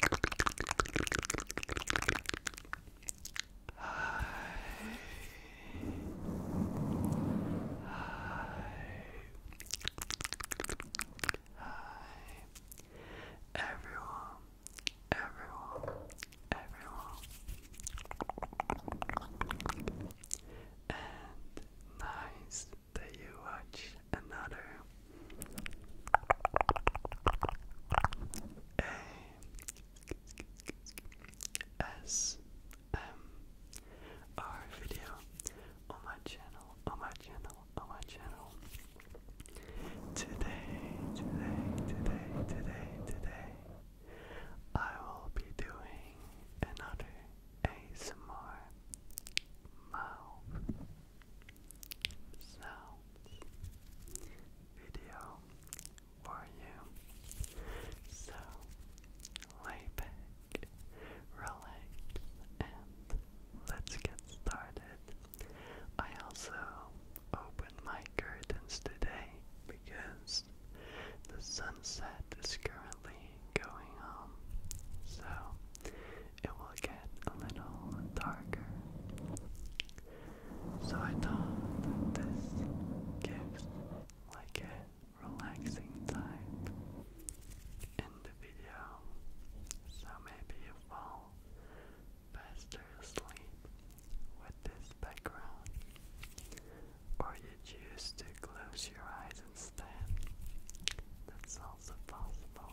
Hi. Hi. Hi. Everyone. Everyone. Everyone. And nice that you watch another a S M R video on my channel, on my channel, on my channel. Today, today, today, today, today, I will be doing another ASMR mouth sounds video for you. So lay back, relax, and let's get started. I also opened my curtains today because the sunset is currently going on. So it will get a little darker. So I thought that this gives like a relaxing type in the video. So maybe you fall faster asleep with this background. Or you choose to close your eyes instead. That's also possible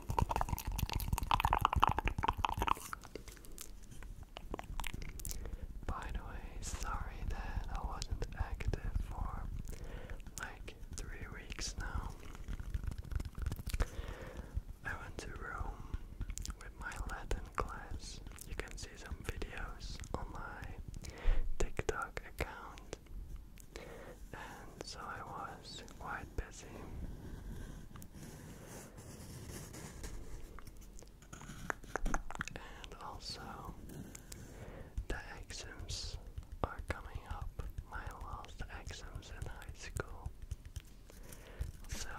By the way, sorry that I wasn't active for like three weeks now. I went to Rome with my Latin class. You can see some videos on my TikTok account and so I was quite busy. And also, the exams are coming up, my last exams in high school. So,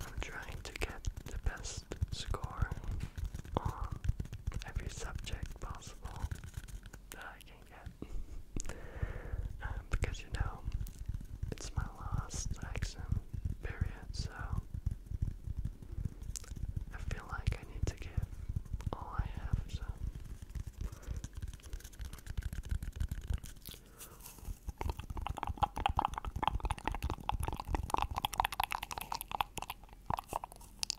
I'm trying to get the best score on every subject possible that I looking um, because you know, it's my last exam period, so I feel like I need to give all I have,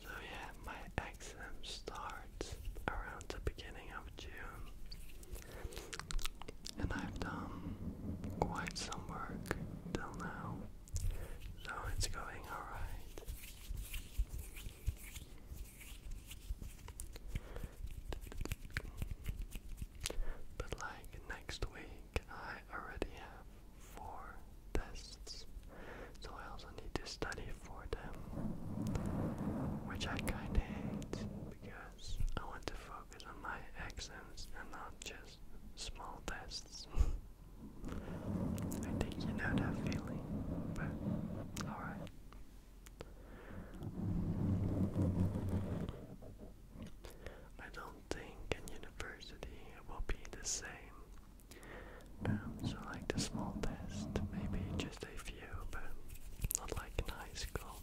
So, yeah, my exam starts around the beginning of June, and I've done quite some work till now. So it's going alright. But like next week, I already have four tests, so I also need to study for them, which I kinda hate because I want to focus on my exams and not just small tests. I think you know that feeling, but alright. I don't think in university it will be the same. Um, so like the small test, maybe just a few, but not like in high school.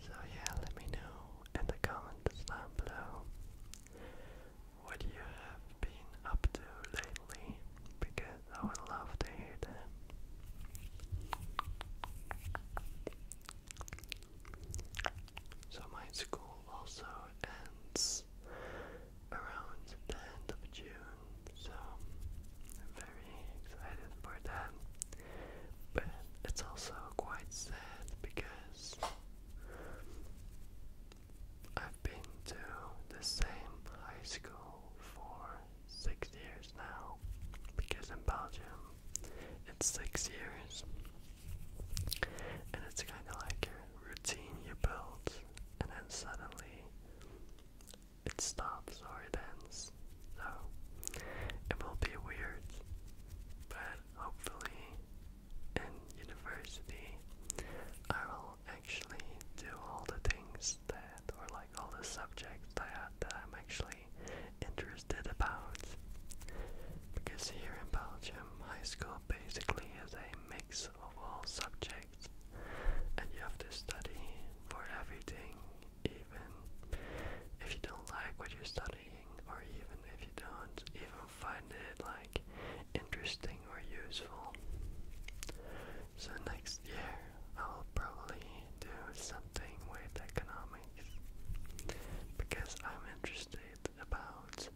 So, yeah, let me know in the comments down below what you have been up to lately because I would love to hear them. So my school also ends around the end of June, so I'm very excited for that. But it's also quite sad because I've been to the same high school for six years now because in Belgium it's six years and it's kind of like a routine you build and then suddenly it stops or it ends so it will be weird but hopefully in university I will actually do all the things that or like all the subjects that, I'm actually interested about because here in Belgium high school basically is a mix of all subjects and you have to study for everything even if you don't like what you study or even if you don't even find it like interesting or useful. So next year I'll probably do something with economics because I'm interested about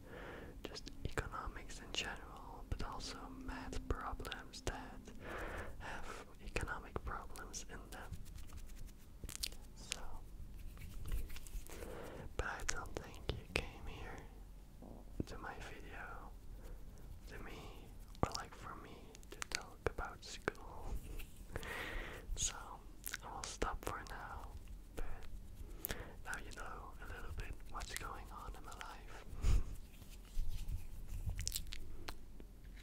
just economics in general but also math problems that have economic problems in them. So, but I don't think you came here to my video to me or like for me to talk about school. so, I will stop for now, now you know a little bit what's going on in my life.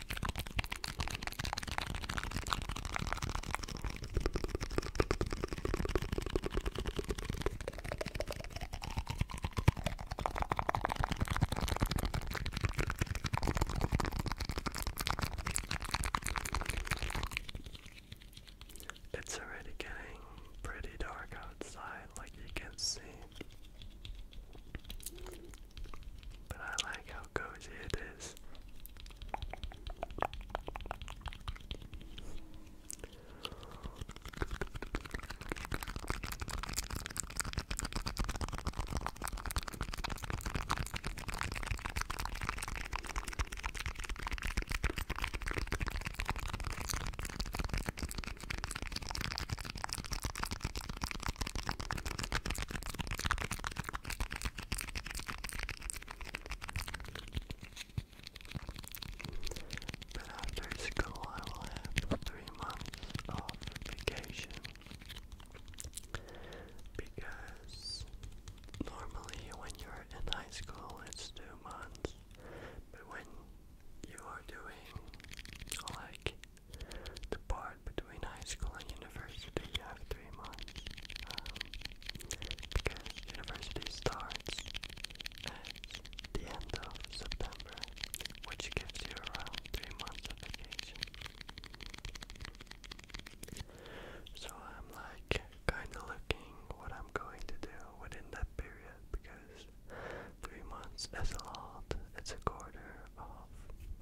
It's already getting pretty dark outside, like you can see. But I like how cozy it is. But after school, I will have three months of vacation because normally when you're in high school, it's two months, but when you are doing like the part between high school and university you have three months um, because university starts at the end of September which gives you around three months of vacation so I'm like kinda looking what I'm going to do within that period because three months is a lot it's a quarter of off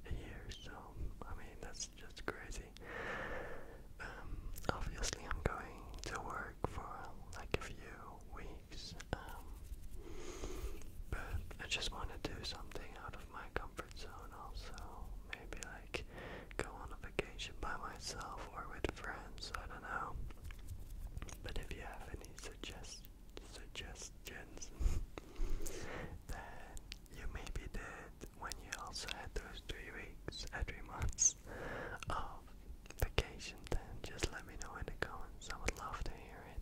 here, so I mean that's just crazy. Um, obviously, I'm going to work for like a few weeks, um, but I just want to do something out of my comfort zone. Also, maybe like go on a vacation by myself or with friends. I don't know. But if you have any suggest suggestions, then you may be dead when you also had those three weeks, uh, three months of vacation, then just let me know in the comments. I would love to hear it.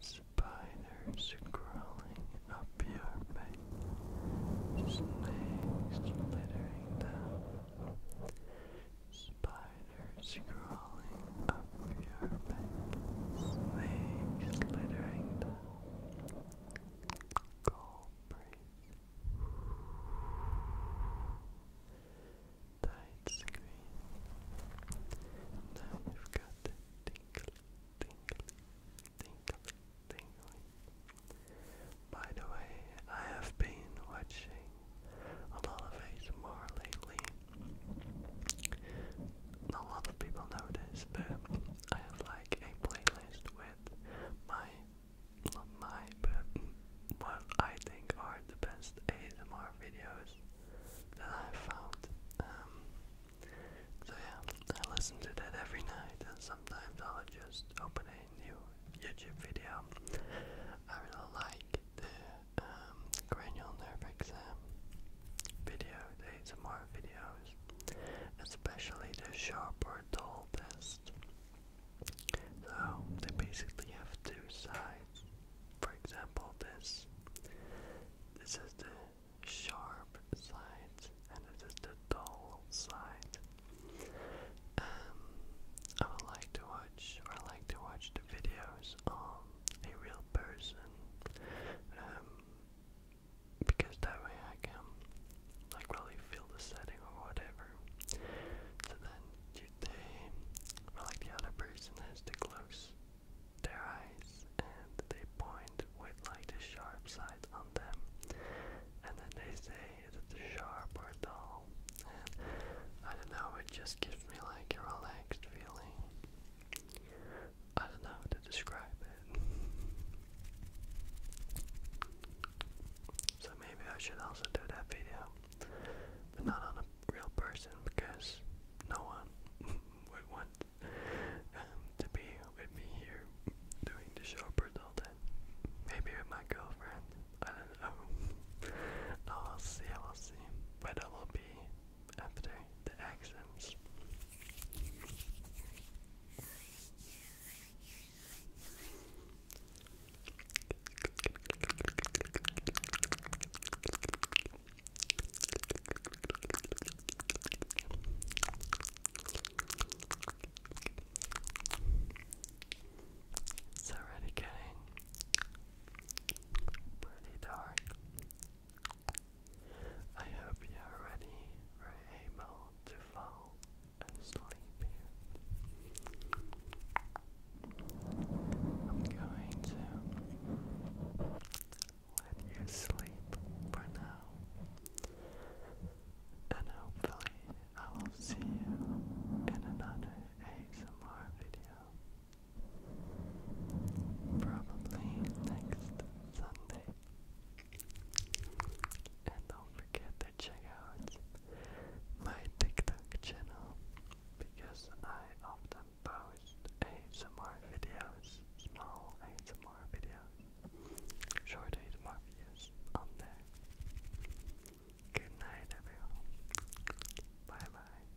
Spiders crawling up your back, snakes flittering down. Spiders crawling up your back, snakes littering tight screen. Now you've got the tingly, tingly, tingly, By the way, I have been watching a lot of ASMR lately a lot of people know this, but I have like a playlist with my not my but what I think are the best ASMR videos that i found. Um, so yeah, I listen to that every night, and sometimes I'll just open a new YouTube video. I really like the um, nerve exam video. These more videos, especially the sharp or dull test. So they basically have two sides. For example, this. This is the sharp side, and this is the dull side. Um, I would like to watch, or like to watch the videos of a real person, um, because that way I can like really feel the setting or whatever. So then they, like the other person has to close their eyes and they point with like the sharp side on them, and then they say, is sharp or dull? And I don't know, it just gives me like a relaxed feeling. I don't know how to describe it. So maybe I should also do that video, but not on a real person because no one would want um, to be with me here doing the show for all Maybe with my girlfriend. I don't know. I'll see. I'll see. But I will be after the exams. It's already getting pretty dark. I hope you're ready, or able to fall asleep I'm going to let you sleep for now, and hopefully I will see you in another ASMR video. Probably next Sunday. And don't forget to check out my TikTok channel because I often post ASMR videos, small ASMR videos, short videos on there. Good night, everyone. Bye bye.